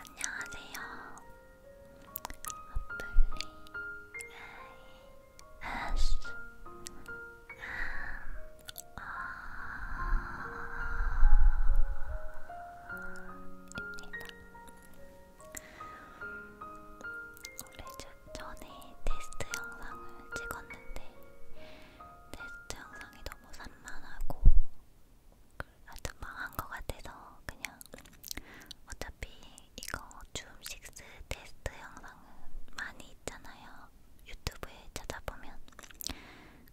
안녕하세요. 어플리 AS 입니다. 오래전에 테스트 영상을 찍었는데 테스트 영상이 너무 산만하고 하여튼 망한 것 같아서 그냥 어차피 이거 줌식스 테스트 영상은 많이 있잖아요. 유튜브에 찾아보면.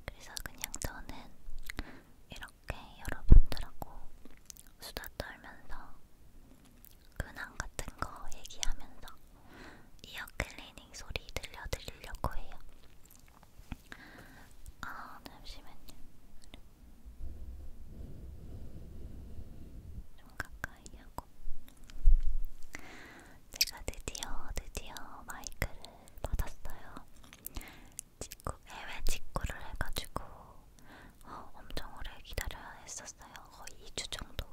그래서 그냥 저는 이렇게 여러분들하고 수다 떨면서 근황 같은 거 얘기하면서 이어 클리닝 소리 들려드리려고 해요. 아, 잠시만요. 네, 좀 가까이 하고. 제가 드디어, 드디어 마이크를 받았어요. 직구, 해외 직구를 해가지고 어, 엄청 오래 기다려야 했었어요. 거의 2주 정도.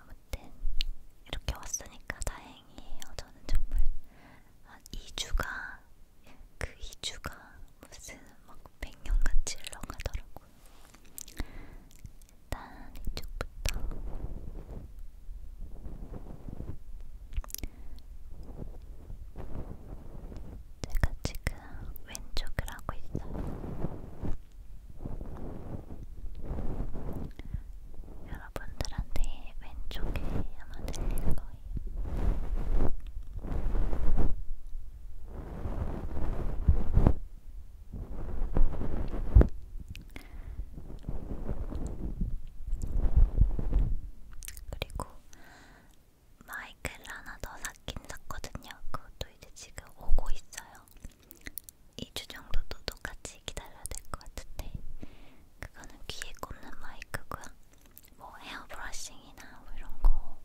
아무튼 어쨌든 이렇게 왔으니까 다행이에요. 저는 정말 한 2주가 그 2주가 무슨 막 100년같이 흘러가더라고요. 일단 이쪽부터 제가 지금 왼쪽을 하고 있어요. 여러분 여러분들한테 왼쪽에 아마 들릴 거예요. 그리고 마이크를 하나 더 샀긴 샀거든요. 그것도 이제 지금 오고 있어요. 2주 정도 또 똑같이 잠시 기다려야 될 것 같은데 그거는 귀에 꽂는 마이크고요. 뭐 헤어 브러싱이나 뭐 이런 거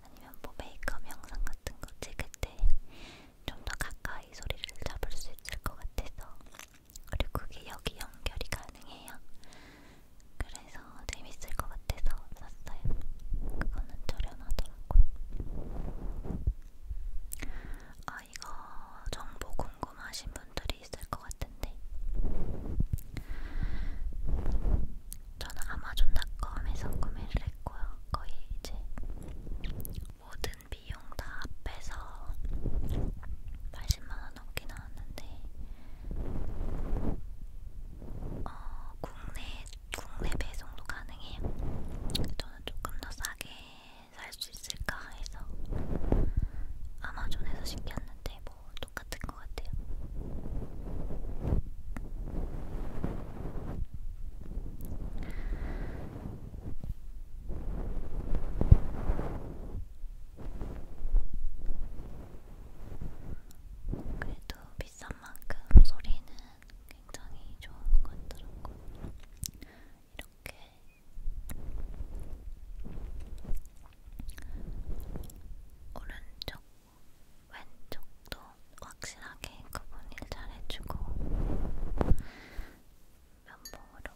아니면 뭐 메이크업 영상 같은 거 찍을 때 좀 더 가까이 소리를 잡을 수 있을 것 같아서 그리고 그게 여기 연결이 가능해요. 그래서 재밌을 것 같아서 샀어요. 그거는 저렴하더라고요. 아 이거 정보 궁금하신 분들이 있을 것 같은데 저는 아마존닷컴에서 구매를 했고요. 거의 이제 모든 비용 다 빼서 80만원 넘게 나왔는데 어, 국내, 국내 배송도 가능해요. 저는 조금 더 싸게 살수 있을까 해서 아마존에서 시켰는데 뭐 똑같은 것 같아요. 그래도 비싼 만큼 소리는 굉장히 좋은 것 같더라고요. 이렇게 오른쪽, 왼쪽도 확실하게 구분을 잘 해주고 면봉으로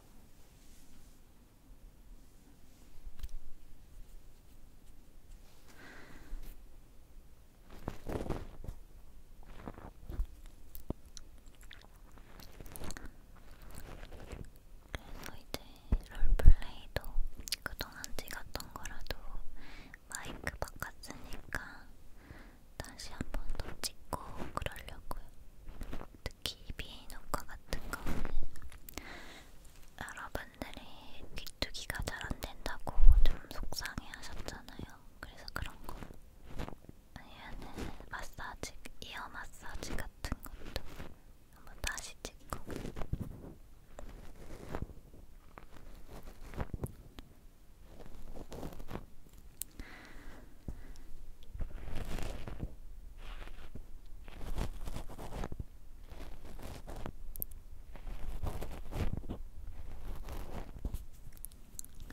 그래서 이제 롤플레이도 그동안 찍었던 거라도 마이크 바꿨으니까 다시 한 번 더 찍고 그러려고요. 특히 비인 효과 같은 거는 여러분들이 귀뚜기가 잘 안 된다고 좀 속상해 하셨잖아요. 그래서 그런 거 얘는 마사지, 이어 마사지 같은 것도 한번 다시 찍고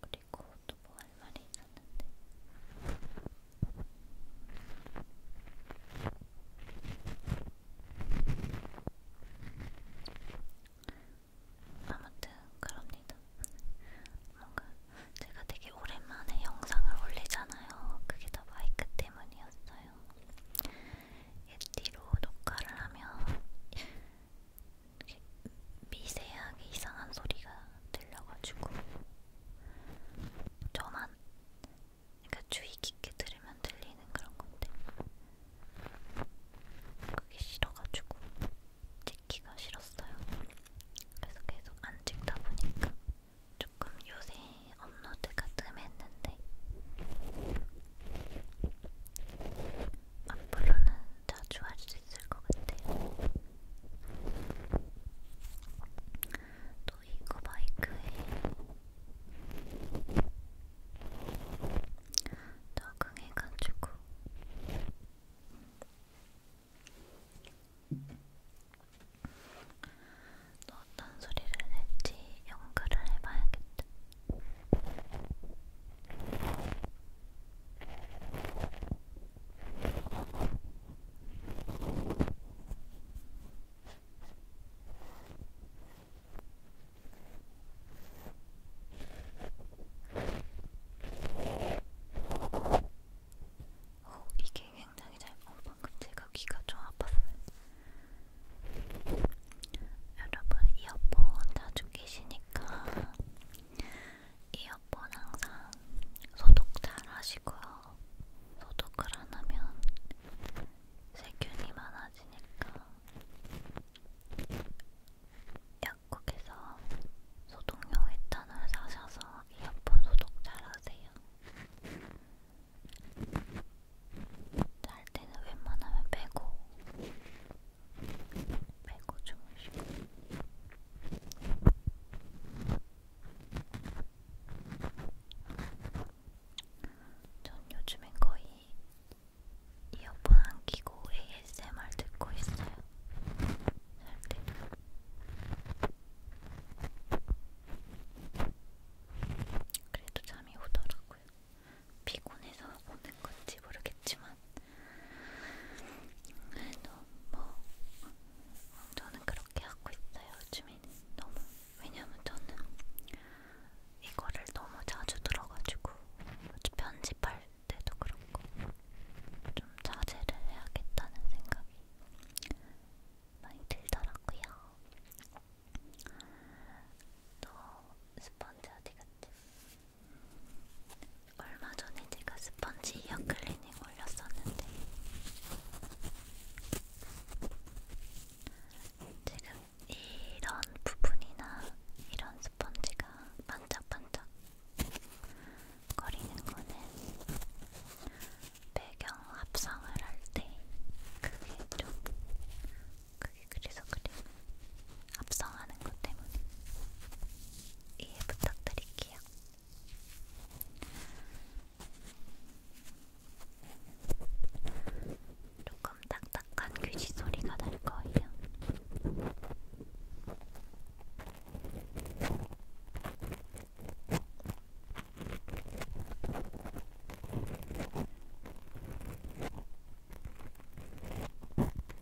그리고 또 뭐 할 말이 있었는데. 아무튼 그럽니다. 뭔가 제가 되게 오랜만에 영상을 올리잖아요. 그게 다 마이크 때문이었어요. 예티로 녹화를 하면 미세하게 이상한 소리가 들려가지고 저만 그러니까 주의 깊게 들으면 들리는 그런 건데 그게 싫어가지고 찍기가 싫었어요. 그래서 계속 안 찍다 보니까 조금 요새 업로드가 뜸했는데 앞으로는 자주 할 수 있을 것 같아요. 또 이거 마이크에 적응해가지고 너 어떤 소리를 낼지 연구를 해봐야겠다. 어, 이게 굉장히 잘, 어, 방금 제가 귀가 좀 아팠어요. 여러분, 이어폰 자주 끼시니까 이어폰 항상 소독 잘 하시고요. 소독을 안 하면 세균이 많아지니까 약국에서 소독용 에탄을 사셔서 이어폰 소독 잘 하세요. 잘 때는 웬만하면 빼고 빼고 주무시고 전 요즘엔 거의 이어폰 안 끼고 ASMR 듣고 있어요. 절대. 그래도 잠이 오더라고요. 피곤해서 오는 건지 모르겠지만 그래도 뭐 저는 그렇게 하고 있어요. 요즘에는 너무 왜냐면 저는 이거를 너무 자주 들어가지고 편집할 때도 그렇고 좀 자제를 해야겠다는 생각이 많이 들더라고요. 또 스펀지 어디 갔지? 얼마 전에 제가 스펀지 이어 클리닝 올렸었는데 지금 이런 부분이나 이런 스펀지가 반짝반짝 거리는 거는 배경 합성을 할 때 그게 좀 그게 그래서 그래 합성하는 것 때문에 이해 예, 부탁드릴게요. 조금 딱딱한 귀지 소리가 날 거예요.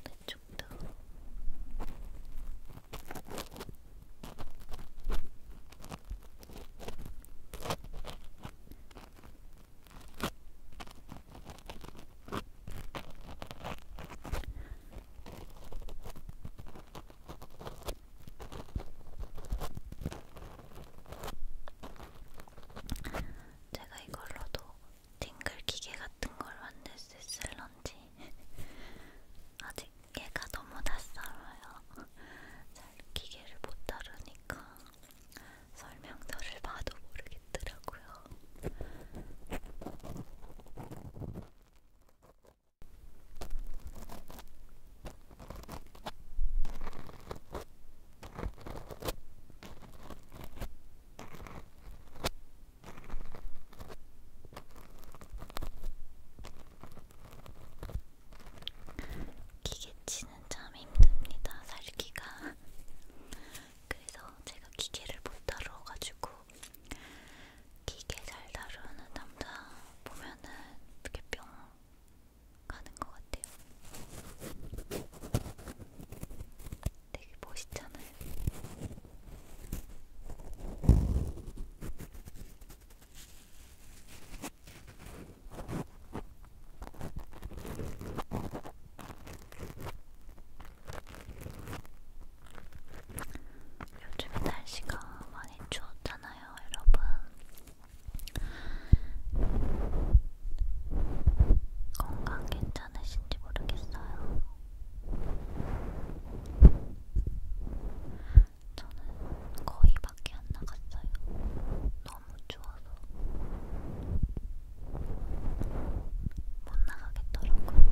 이쪽도 제가 이걸로도 팅글 기계 같은 걸 만들 수 있을런지 아직 얘가 너무 낯설어요. 잘 기계를 못 다루니까 설명서를 봐도 모르겠더라고요. 기계치는 참 힘듭니다. 살기가. 그래서 제가 기계를 못 다뤄가지고 기계 잘 다루는 남자 보면은 이렇게 뿅 가는 것 같아요. 되게 멋있잖아요. 요즘에 날씨가 많이 추웠잖아요, 여러분. 건강 괜찮으세요? 괜찮으신지 모르겠어요. 저는 거의 밖에 안 나갔어요. 너무 추워서. 못 나가겠더라고요.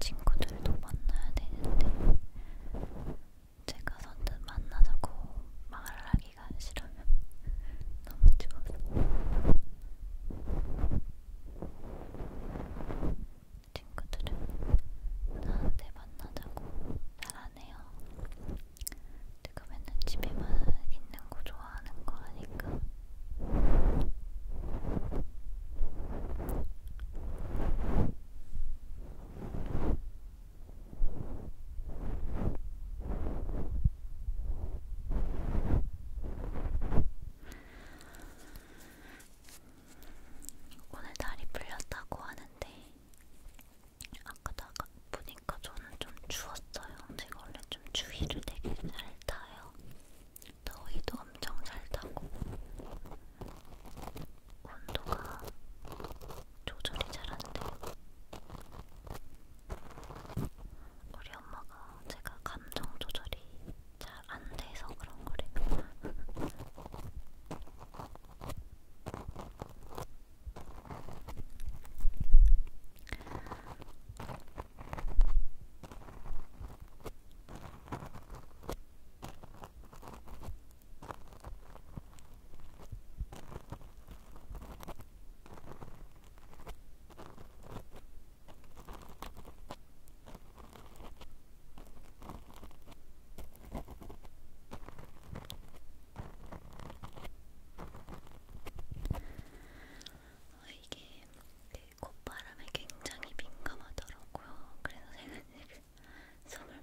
친구들도 만나야 되는데 제가 선뜻 만나자고 말하기가 싫으면 너무 추워서 친구들은 나한테 만나자고 잘안 해요. 내가 맨날 집에만 있는 거 좋아하는 거 아니까. 오늘 날이 풀렸다고 하는데 아까도 아까 보니까 저는 좀 추웠어요. 제가 원래 좀 추위를 되게 잘 타요. 더위도 엄청 잘 타고 온도가 조절이 잘 안 돼. 우리 엄마가 제가 감정 조절이 잘 안 돼서 그런 거래요. 어, 이게 그 콧바람에 굉장히 민감하더라고요. 그래서 제가 지금 숨을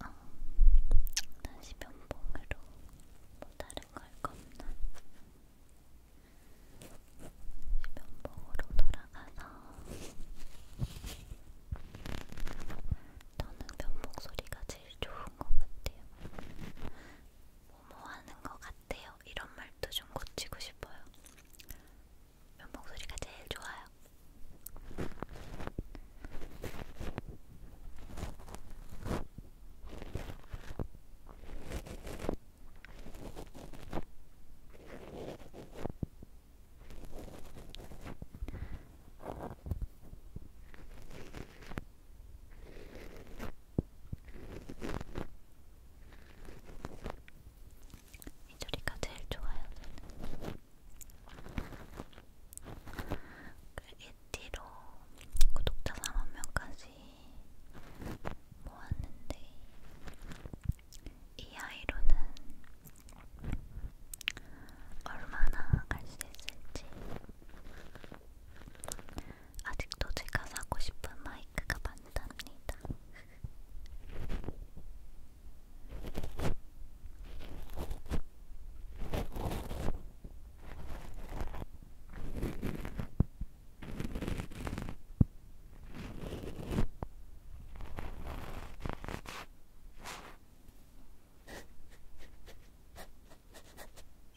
어, 다시 면봉으로 뭐 다른 걸 거 없나? 면봉으로 돌아가서 저는 면봉 소리가 제일 좋은 것 같아요. 뭐뭐하는 것 같아요. 이런 말도 좀 고치고 싶어요. 이 목소리가 제일 좋아요. 이 소리가 제일 좋아요. 그에티로 구독자 3만 명까지 모았는데 이 아이로는 얼마나 갈 수 있을지 아직도 제가 사고 싶은 마이크가 많답니다.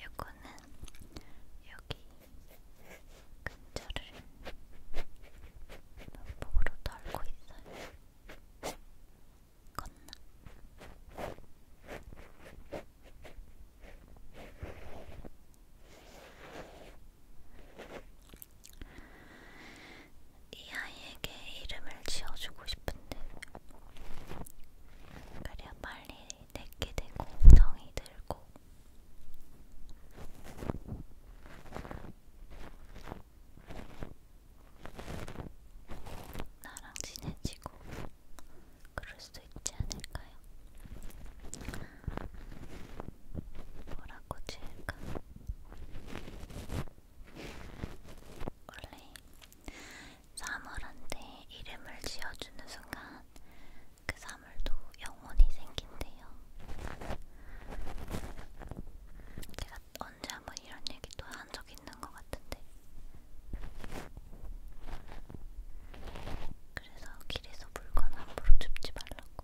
요거는 여기 근처를 면봉으로 덜고 있어요. 건나. 이 아이에게 이름을 지어주고 싶은데 그래야 빨리 내게 되고 정이 들고 나랑 친해지고 그럴 수 있지 않을까요? 뭐라고 지을까? 원래 사물한테 이름을 지어주는 순간 그 사물도 영혼이 생긴대요. 제가 언제 한번 이런 얘기도 한 적 있는 것 같은데. 그래서 길에서 물건 함부로 줍지 말라고.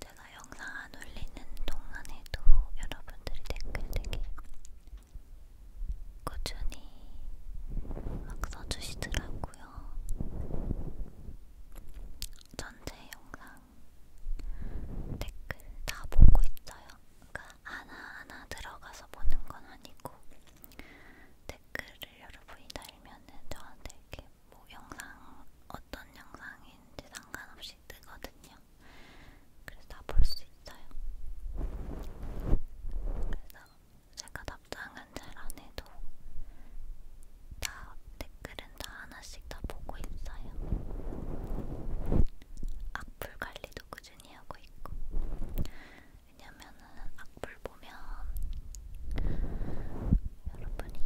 제가 영상 안 올리는 동안에도 여러분들이 댓글 되게 꾸준히 막 써주시더라고요. 전체 영상 댓글 다 보고 있어요. 그러니까 하나하나 들어가서 보는 건 아니고 댓글을 여러분이 달면은 저한테 이렇게 뭐 영상 어떤 영상인지 상관없이 뜨거든요. 그래서 다 볼 수 있어요. 그래서 제가 답장은 잘 안 해도 다 댓글은 다 하나씩 다 보고 있어요. 악플 관리도 꾸준히 하고 있고 왜냐면은 악플 보면 여러분이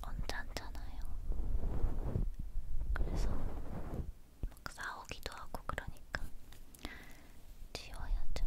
언짢잖아요. 그래서 막 싸우기도 하고 그러니까 지워야죠.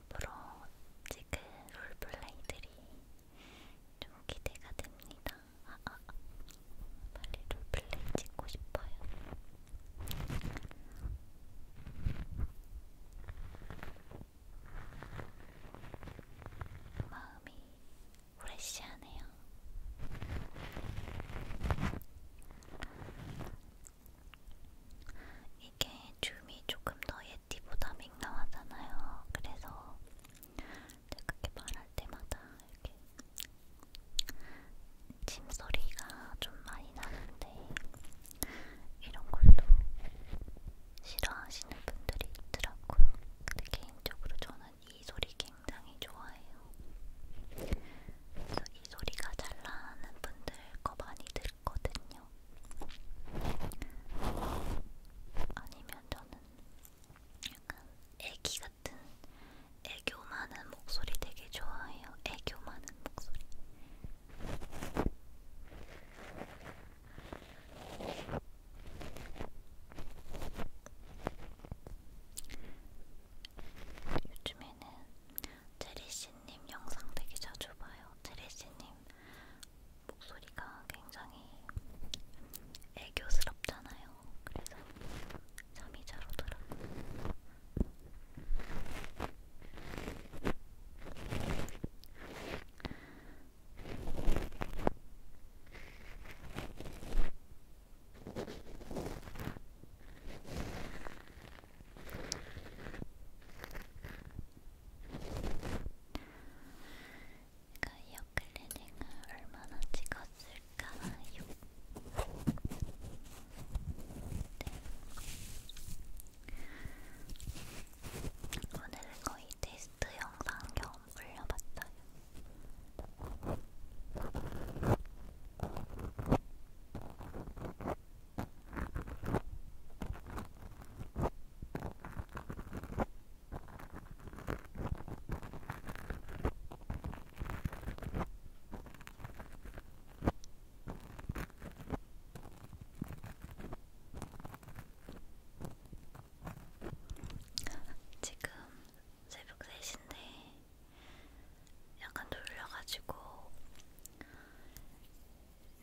앞으로 찍은 롤플레이들이 좀 기대가 됩니다. 아, 아, 아. 빨리 롤플레이 찍고 싶어요. 마음이 프레시하네요. 이게 줌이 조금 더 예티보다 맹랑하잖아요. 그래서 제가 그렇게 말할 때마다 이렇게 침소리가 좀 많이 나는데 이런 걸도 싫어하시는 분들이 있더라고요. 근데 개인적으로 저는 이 소리 굉장히 좋아해요. 그래서 이 소리가 잘 나는 분들 거 많이 들을 있거든요. 아니면 저는 약간 애기 같은 애교 많은 목소리 되게 좋아해요. 애교 많은 목소리. 요즘에는 제리씨님 영상 되게 자주 봐요. 제리씨님 목소리가 굉장히 애교스럽잖아요. 그래서 잠이 잘 오더라고요. 내가 이어클리닝을 얼마나 찍었을까요? 네. 오늘은 거의 테스트 영상 겸 올려봤어요. 지금 새벽 3시인데 약간 돌려가지고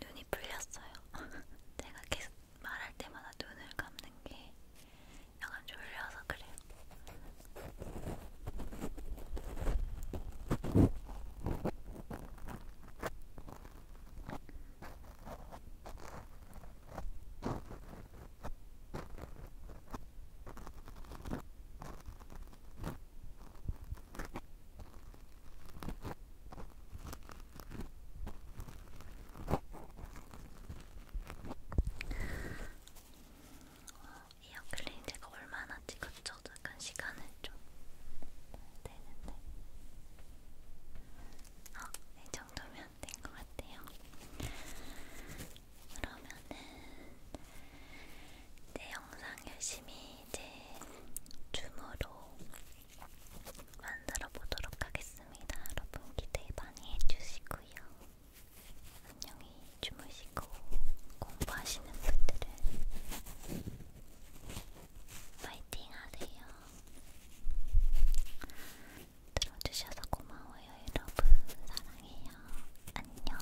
눈이 풀렸어요. 제가 계속 말할 때마다 눈을 감는 게 약간 졸려서 그래요. 이어클린 제가 얼마나 찍었죠? 잠깐 시간을 좀 되는데 아, 이 정도면 된 것 같아요. 그러면은 내 영상 열심히 이제 줌으로 만들어 보도록 하겠습니다. 여러분 기대 많이 해주시고요. 안녕히 주무시고 공부하시는 분들은 파이팅 하세요. 들어주셔서 고마워요, 여러분. 사랑해요. 안녕.